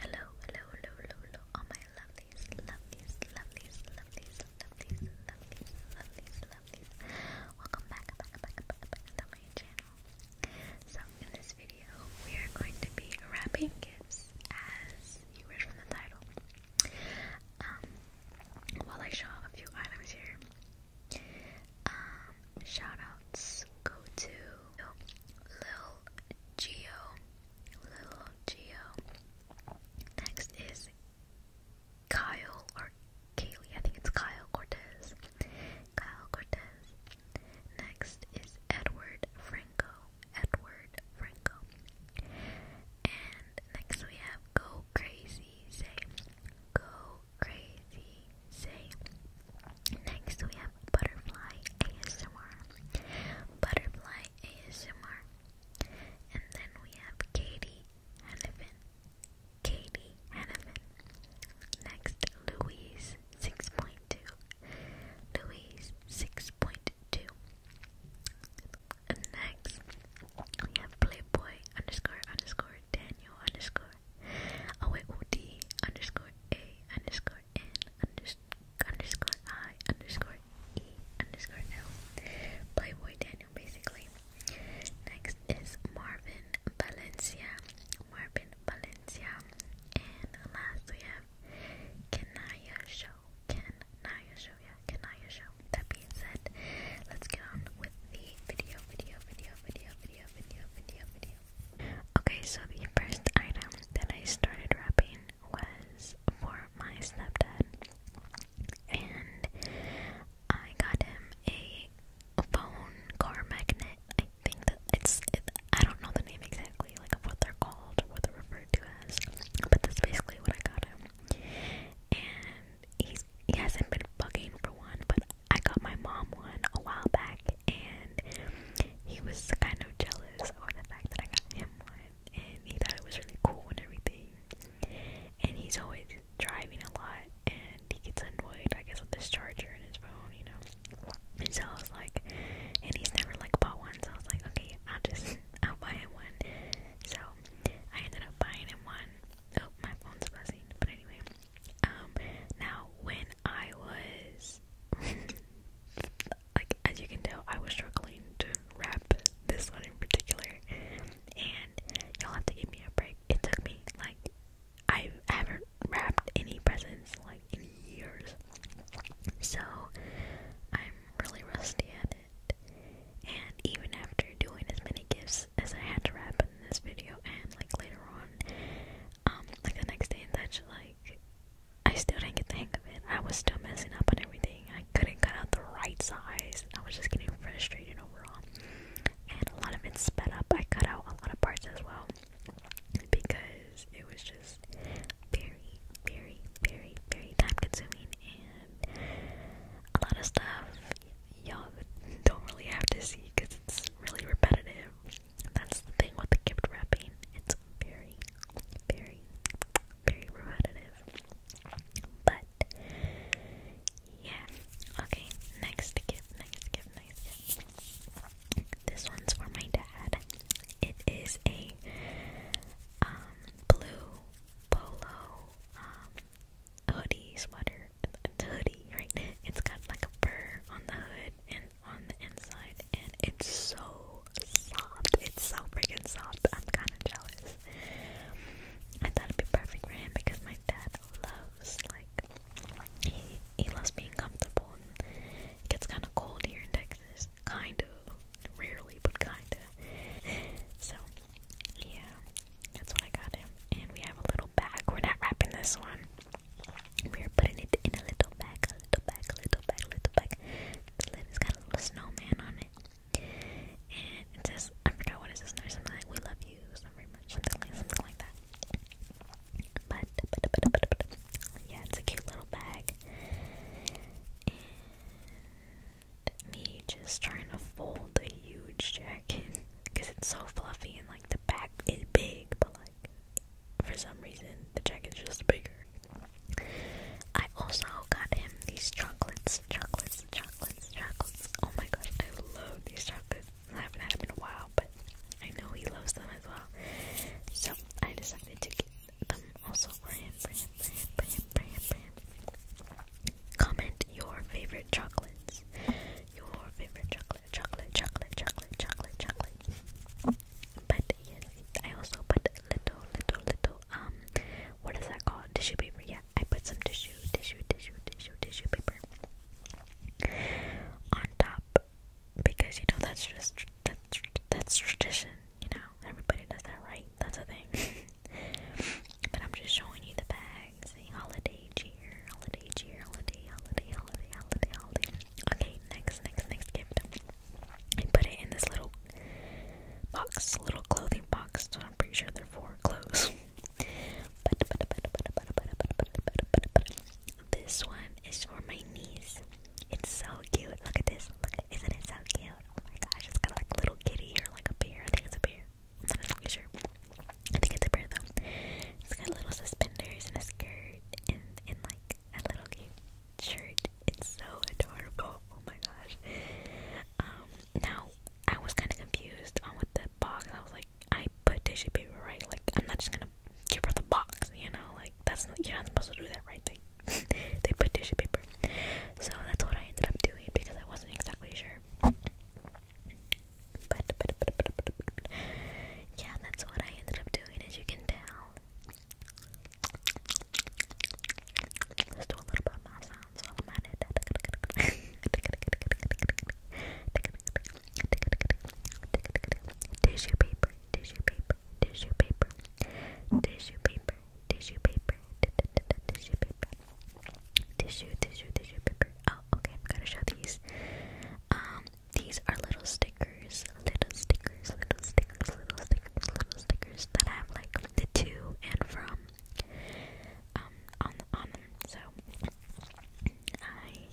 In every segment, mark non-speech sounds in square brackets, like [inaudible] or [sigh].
Hello, hello, hello, hello, all my lovelies, lovelies, lovelies, lovelies, lovelies, lovelies, lovelies, lovelies. Welcome back, back, back, back, back to my channel. So in this video, we are going to be wrapping gifts as you read from the title. Um, while I show off a few items here, um, shoutouts go to Lil Geo. Little Geo. Next is Kyle or Kaylee. I think it's Kyle Cortez. Kyle Cortez. Next is Edward Franco. Edward Franco. And next we have Go Crazy Say. Go Crazy Say. Next we have Butterfly ASMR. Butterfly ASMR. And then we have Katie Hannifin. Katie Hannifin. Next Louise 6.2. Louise 6.2. And next we have Playboy underscore underscore Daniel underscore OAOD underscore A underscore underscore n unders underscore i underscore e underscore l. Playboy Daniel, basically. Next is Marvin Valencia. Marvin Valencia. And last we have Kanaya Show. Kanaya Show, yeah, Kanaya Show. That being said, let's get on with the video, video, video, video, video, video, video, video, video. Okay, so the first item that I started wrapping was for my stepdad, and I got him a phone car magnet. I think that it's, I don't know the name exactly, like what they're called, what they're referred to as, but that's basically what I got him. And he's, he hasn't been bugging for one, but I got my mom one a while back, and he was kind of jealous of the fact that I got him one, and he thought it was really cool and everything. And he's always driving a lot, and he gets annoyed, I guess, with this charger in his phone, you know. And so I was like, and he's never like bought one, so I was like, okay, I'll just I'll buy him one. So I ended up buying him one. Oh, my phone's buzzing, but anyway. Um, now when I was [laughs] like, as you can tell, I was struggling to wrap this one in particular, and y'all have to give me a break. It took me, like, I haven't wrapped any presents, like, in years. So, I'm really rusty at it. And even after doing as many gifts as I had to wrap in this video and, like, later on, um, like the next day and that's like I still didn't get the hang of it. I was still messing up on everything. I couldn't cut out the right size. I was just getting frustrated overall. And a lot of it sped up. I cut out a lot of parts as well because it was just very, very, very, very time consuming and a lot of stuff y'all don't really have to see because it's really repetitive. That's the thing with the gift wrapping. It's very, very, very repetitive. But yeah. Okay, next gift, next gift, next gift. This one's for my dad. It is a um, blue polo um, hoodie sweater. hoodie, right? It's got like a fur on the hood and on the inside and it's so soft. It's so freaking soft. I'm kind of jealous. I thought it'd be perfect for him because my dad loves like he he loves being comfortable. it gets kind of cold here in Texas, kind of, rarely, but kind of. So yeah, that's what I got him. And we have a little bag. We're not wrapping this one. We are putting it in a little bag, a little bag, a little bag, little bag. The lid has got a little snowman on it. And it says, I forgot what it says, something like, we love you, so very much, something like, that. But, yeah, it's a cute little bag. me just trying to fold the huge jacket because it's so fluffy and like the back is big, but like for some reason the jacket's just bigger. I also got him these chocolates, chocolates, chocolates, chocolates. Oh my god, I love these chocolates. I haven't had them in a while, but I know he loves them as well. So I decided to get them also for him, for him, for him, him, for for him. Comment your favorite chocolates. Your favorite chocolate, chocolate, chocolate, chocolate, chocolate, chocolate, but yes, I also put little, little, little, um, what is that called? Tissue paper. Yeah, I put some tissue, tissue, tissue, tissue, tissue paper on top because you know that's just that's that's tradition. You know, everybody does that, right? That's a thing. [laughs] but I'm just showing you the bags. Holiday cheer, holiday cheer, holiday, holiday, holiday, holiday, holiday. Okay, next, next, next gift. I put it in this little box, little clothing box, so I'm pretty sure they're for clothes. but, but, but, but, but, but, but, but, but, but, but, this one is for my niece. It's so cute. Look at this. Look at, isn't it so cute? Oh my gosh, it's got like little kitty or like a bear. I think it's a bear. i not exactly sure. I think it's a bear though. It's got little suspenders and a skirt and, and like a little cute shirt. It's so adorable. Oh my gosh. Um, now I was kind of confused on what the box. I was like, I put tissue paper right. Like I'm not just gonna give her the box. You know, like that's not, you're not supposed to do that, right? They they put tissue paper. So that's what I ended up doing because I wasn't exactly sure. But, yeah, that's what I ended up doing, as you can tell. Let's do a little bit of my sounds I'm at it. Tissue paper, tissue paper, tissue paper, tissue paper, tissue paper, tissue paper, tissue, tissue, tissue paper. Oh, okay, I've got to show these. Um, these are little stickers, little stickers, little stickers, little stickers, little stickers that have like the to and from um on on them. So I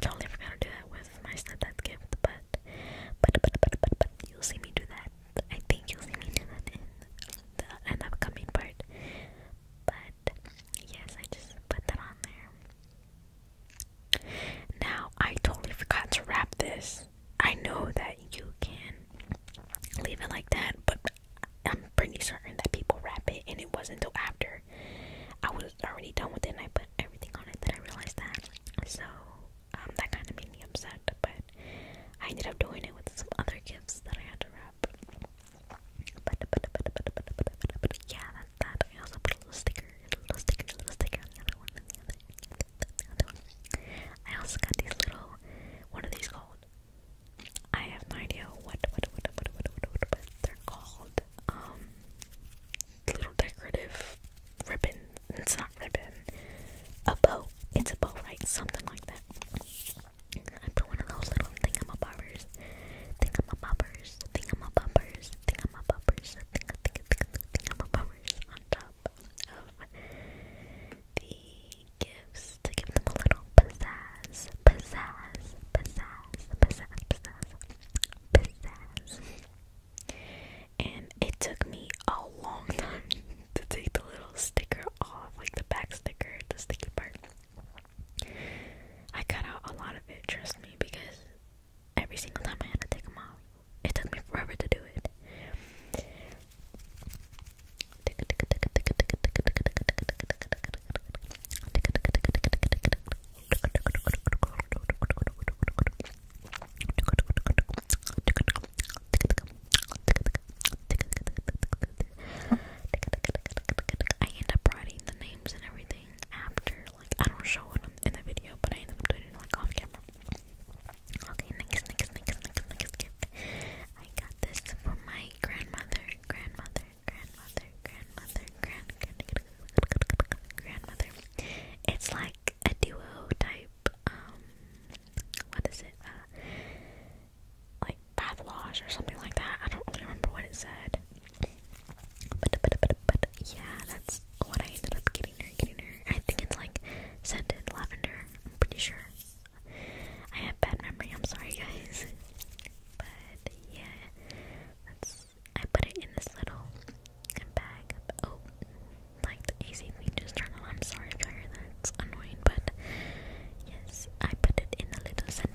totally forgot to do that with my stepdad's gift, but but but but but but you'll see me do that. I think you'll see me do that in the an upcoming part. But yes, I just put that on there. Now, I totally forgot to wrap this. I know that you can leave it like that, but I'm pretty certain that people wrap it, and it wasn't until after I was already done with it and I put everything on it that I realized that. So, that kind of made me upset, but I ended up doing it with some other gifts that I had to wrap. yeah, that. I also put a little sticker, a little sticker, a little sticker the other one, the other, the other one. I also got these little, what are these called? I have no idea what, what, what, what, what, what, what, what they're called. Um, little decorative ribbon. It's not ribbon. A bow. It's a bow, right? Something like that. I put one of those little thingamabobbers. Thingamabobbers. Thingamabobbers. Thingamabobbers. Apple bummers on top of the gifts to give them a little pizzazz, pizzazz, pizzazz, pizzazz, pizzazz, pizzazz. And it took me a long time [laughs] to take the little sticker off, like the back sticker, the sticky part. I cut out a lot of it, trust me, because every single time I had to take them off. It took me forever to do it. I end up writing the names and everything after, like I don't show it in the video, but I ended up doing it like off camera. Okay, next, next, next, next, next gift. I got this for my grandmother, grandmother, grandmother, grandmother, grand, grandmother. It's like a duo type. Um, what is it? Uh, like bath wash or something like that. I don't really remember what it said, but, but, but, but yeah, that's what I ended up getting her. Getting her. I think it's like scented lavender. I'm pretty sure. I have bad memory. I'm sorry, guys. But yeah, that's. I put it in this little bag. Oh, like the AC thing just turned on. I'm sorry if I heard that. It's annoying, but yes, I put it in the little scent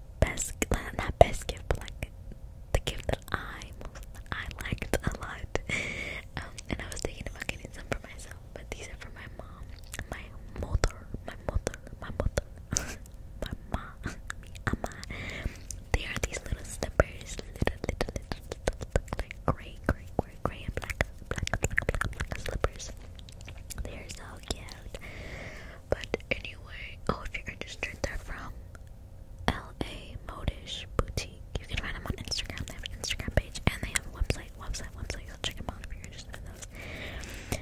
best, not best gift, but like the gift that I most, I liked a lot. Um, and I was thinking about getting some for myself, but these are for my mom, my mother, my mother, my mother, [laughs] my mom, ama. They are these little slippers, little, little, little, little, like gray, gray, gray, gray, and black, black, black, black, black slippers. They're so cute. But anyway, oh, if you're interested, they're from LA Modish Boutique. You can find them on Instagram. They have an Instagram page and they have a website, website, website. Go check them out if you're interested in those.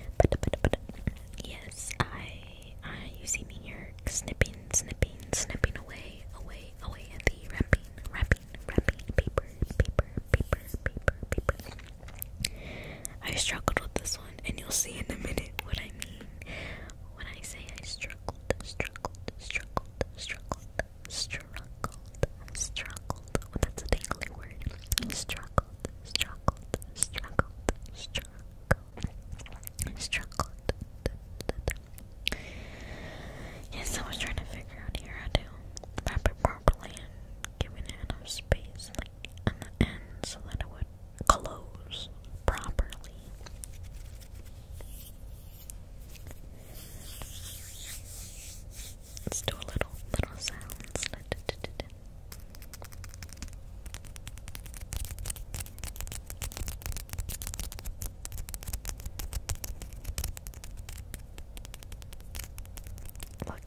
yes, I, I, you see me here snipping, snipping, snipping away, away, away at the wrapping, wrapping, wrapping paper, paper, paper, paper. I struggled with this one and you'll see in a minute what I mean when I say I struggled, struggled, struggled, struggled, struggled, struggled. that's a dangly word. Struggled, struggled, struggled, struggled, struggled. Yes, I was trying to figure out here how to wrap it and give it enough space, like on so that it would close properly. Let's do a little little sounds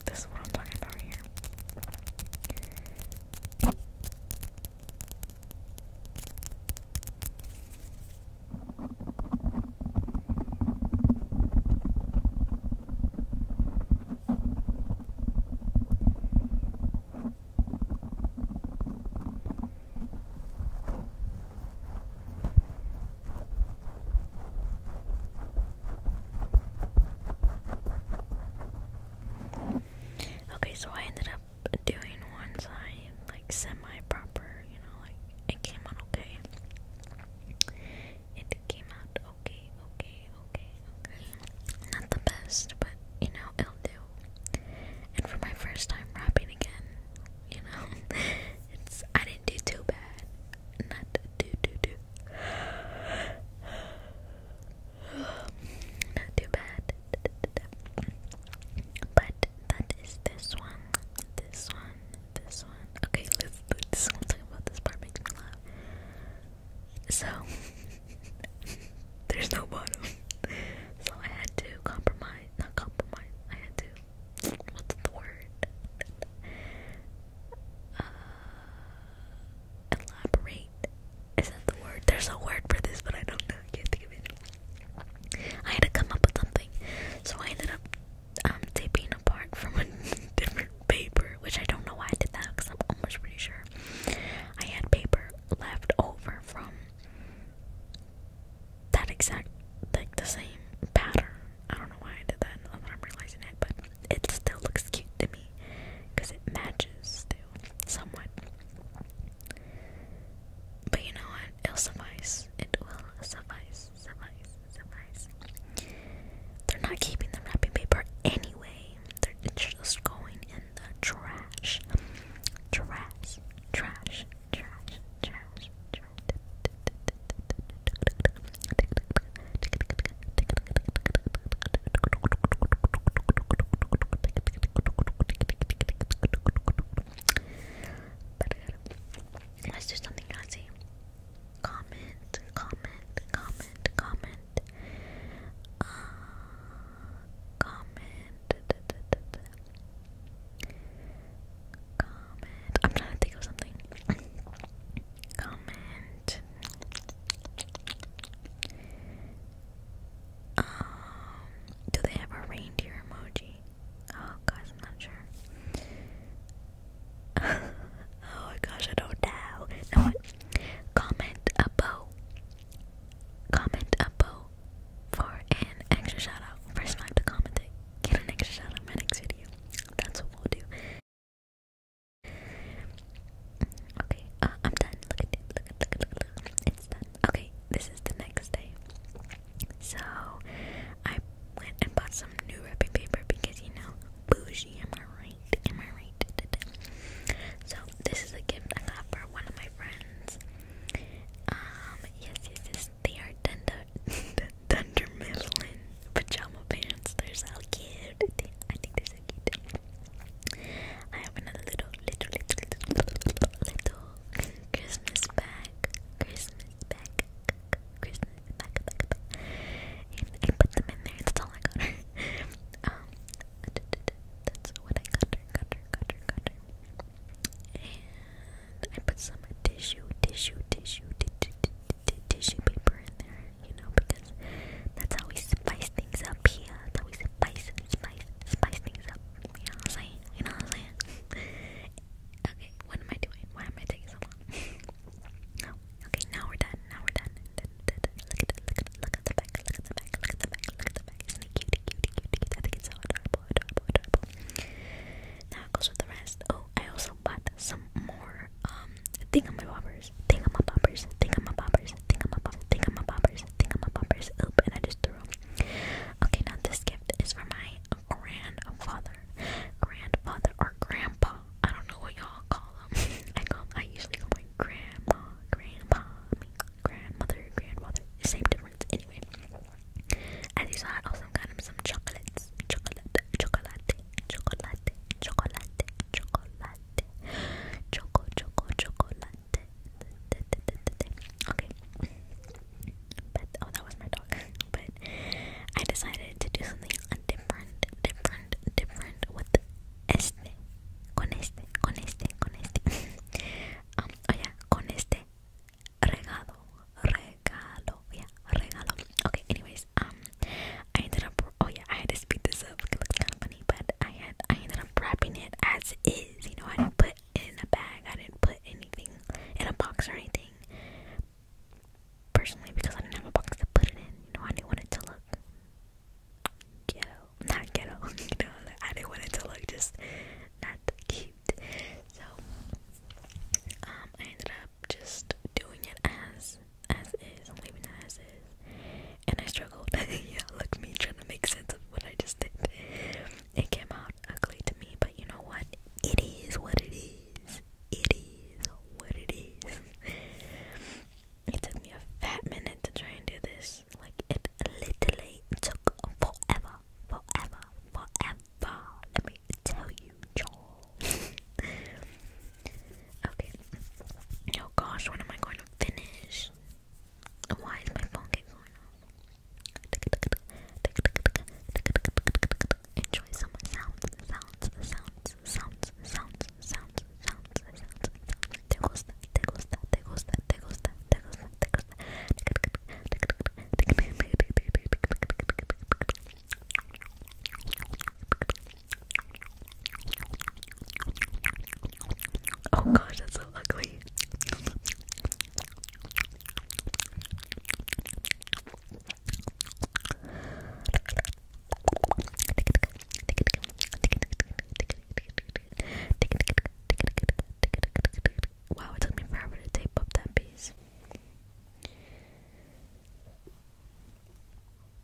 this is what I'm talking about here. Okay, so I ended up doing one side like semi proper, you know, like it came out okay. It came out okay, okay, okay, okay. Not the best, but you know, it'll do. And for my first time rapping again, you know, [laughs] it's I didn't do too bad. Not do do do. Not [gasps] too bad. But that is this one. This one. This one. Okay, let's talk about this part makes me laugh. So [laughs] there's no bottom. So I had to compromise not compromise. I had to what's the word? Uh, Elaborate. Is that the word? There's a word for this, but I don't know. I had to come up with something. So I ended up um, taping apart from a [laughs] different paper, which I don't know why I did that because I'm almost pretty sure. I had paper left over from that exact, like the same pattern. I don't know why I did that, that I'm realizing it, but it still looks cute to me because it matches still somewhat. But you know what? It'll suffice. It will suffice, suffice, suffice. They're not keeping the wrapping paper anyway. They're just going in the Trash, trash, trash, trash, trash. Let's do something classy. Comment, comment, comment, comment. Uh, comment. Comment. I'm trying to think of something comment. Um, do they have a reindeer emoji? Oh gosh, I'm not sure. [laughs] oh gosh, I don't know. Now what? Comment a bow. Comment a bow for an extra shout First, I to comment it. Get an extra shout in my next video. That's what we'll do. Okay, uh, I'm done. Look at it. Look at look look at look. It's done. Okay, this is the next day. So I went and bought some new wrapping paper because you know bougie. Am I right? Am I right? So this is a gift I got for one of my friends. Um, yes, yes, They are Dunder [laughs] Dunder Mifflin pajama pants. They're so cute. They, I think they so cute. I have another little, little, little, little, little Christmas bag. Christmas bag. Christmas bag. bag, bag. And I put them in there. That's all I got her. [laughs] um, that's what I got her. Got her. Got her. Got her. And I put some tissue, tissue, tissue, tissue, tissue paper in there, you know, because that's how we spice things up here. that how we spice, spice, spice things up. You I'm saying? You know I'm saying? [laughs] okay, what am I doing? Why am I taking so long? [laughs] okay, now we're done. Now we're done. Look at the, look look at the back. Look at the back. Look at the back. Look at the back. Isn't it cutie, cutie, I think it's adorable, adorable, adorable. Now it goes with the rest. Oh, I also bought some more um, thingamabobbers, thingamabobbers, thingamabobbers, thingamabobbers, thingamabobbers, thingamabobbers. Oop, and I just threw them. Okay, now this gift is for my grandfather, grandfather or grandpa. I don't know what y'all call them. [laughs] I call, I usually call my grandma, grandpa, grandmother, grandfather. Same difference, anyway. As you saw, I also got him some chocolates, chocolate, chocolate, chocolate, chocolate, chocolate chocolate. Choco, choco, chocolate. Okay. But oh, that was my dog. But I decided to do something different, different, different with este. Con este, con este, con este. um, oh, yeah, con este regalo, regalo, yeah, regalo. Okay, anyways, um, I ended up, oh yeah, I had to speed this up, it looks kind of funny, but I had, I ended up wrapping it as is, you know, I didn't put it in a bag, I didn't put anything in a box or anything, personally, because I didn't have a box to put it in, you know, I didn't want it to look ghetto, not ghetto, [laughs] you know, I didn't want it to look just not cute, so, um, I ended up just doing it as as is and leaving it as is. And I struggled. [laughs] yeah, look me trying to make sense of what I just did. It came out ugly to me, but you know what? It is what it is. It is what it is. It took me a fat minute to try and do this. Like it literally took forever. Forever. Forever. Let me tell you, you [laughs] Okay. Oh gosh, when am I going to finish? Why is my phone keep off? Enjoy some sounds, sounds, sounds, sounds, sounds, sounds, sounds, sounds. Te gusta, te gusta, te gusta, te gusta, te gusta, te gusta. Oh gosh, that's so ugly. Wow, it took me forever to tape up that piece.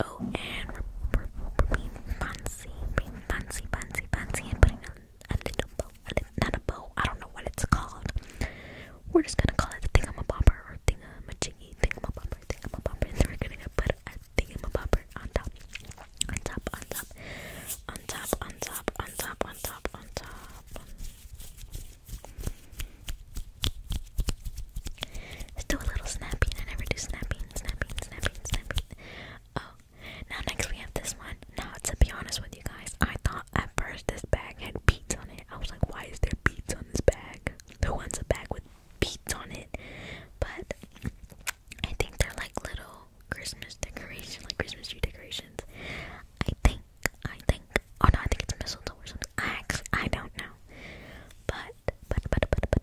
oh, and we're, being fancy, being fancy, fancy, fancy, and putting a, little bow, a little, not a bow, I don't know what it's called. We're just gonna call it a thingamabobber or thingamajiggy, thingamabobber, thingamabobber, and we're gonna put a thingamabobber on top, on top, on top, on top, on top, on top, on top, on top. Let's do a little snapping. I never do snapping, snapping, snapping, snapping. Oh, now next we have this one. Now, to be honest with you guys, I thought at first this bag had beads on it. I was like, why is there beads on this bag? Who wants a bag with beads on it? But I think they're like little Christmas decorations, like Christmas tree decorations. I think, I think. Oh no, I think it's mistletoe or something. I actually, I don't know. But, but, but, but, but,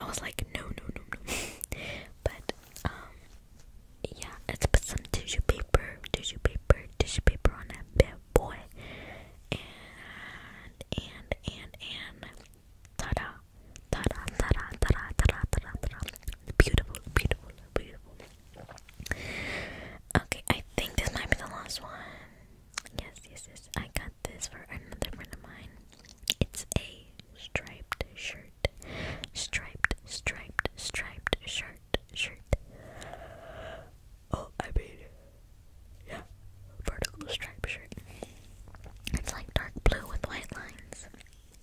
I was like, no, no, no, no. [laughs] but um, yeah, let's put some tissue paper, tissue paper, tissue paper on that bad boy, and and and and ta-da, ta-da, ta-da, ta-da, ta-da, ta-da, Beautiful, beautiful, beautiful. Okay, I think this might be the last one. Yes, yes, yes. I got this for another friend of mine. It's a striped shirt. Striped, striped, striped shirt, shirt. Oh, I mean, yeah, vertical striped shirt. It's like dark blue with white lines.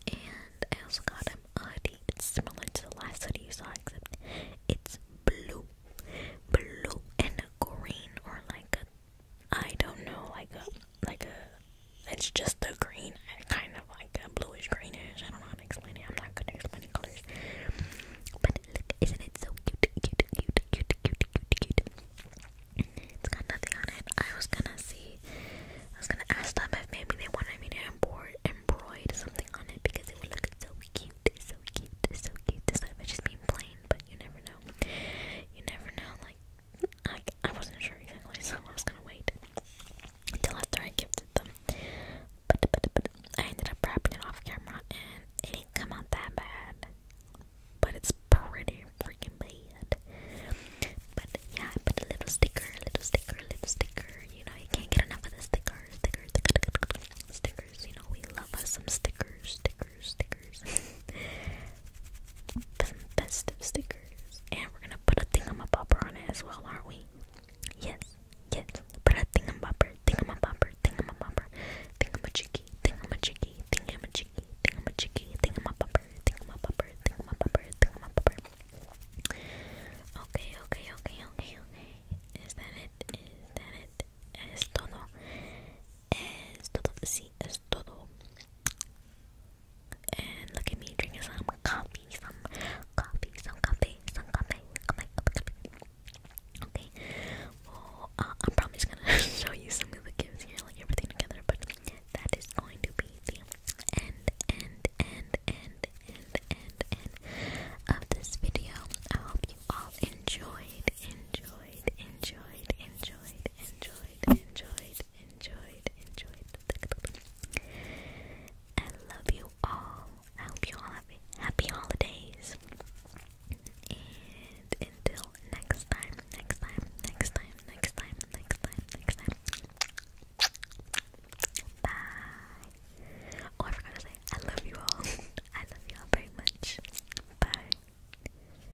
And I also got him a hoodie. It's similar to the last hoodie you saw, except it's blue, blue and green, or like I don't know, like like a. It's just the green, kind of like a bluish greenish. I don't know how to explain it. I'm not good at explaining colors. But isn't it so cute? It's got nothing on it. I was gonna see. I was gonna ask them if maybe they wanted me to embroid something on it because it would look so cute, so cute, so cute. This stuff it's just being plain, but you never know. You never know, like I, I wasn't sure exactly, so I was gonna wait until after I gifted them. But, I ended up wrapping it off camera, and it didn't come out that bad. But it's pretty freaking bad. But yeah, I put a little sticker, little sticker, little sticker. You know, you can't get enough of the stickers, stickers, stickers, stickers. You know, we love us some stickers, stickers stickers, stickers. festive [laughs] stickers. And we're gonna put a thingamabobber on it as well, aren't we? Yes, yes. Put a thingamabobber, thingamabobber, thingamabobber, thingamajiggy, thingamajiggy, thingamajiggy, thingamajiggy, thingamabobber, thingamabobber, thingamabobber, thingamabobber. Okay, okay, okay, okay, okay. Is that it? Is that it? Es todo. Sí, es and look at me drinking some coffee, some coffee, some coffee, some coffee, coffee, coffee. Okay. Well, uh, I'm probably just gonna [laughs] show you some of the gifts here, like everything together. But that is going to be the end, end, end, end, end, end, end of this video. I hope you all enjoyed, enjoyed, enjoyed, enjoyed, enjoyed, enjoyed, enjoyed, enjoyed. I love you all. I hope you all have happy holidays. And until next time, next time, next time, next time, next time, next time. Bye. Oh, I forgot to say, I love you all. [laughs] I love you all very much. Bye.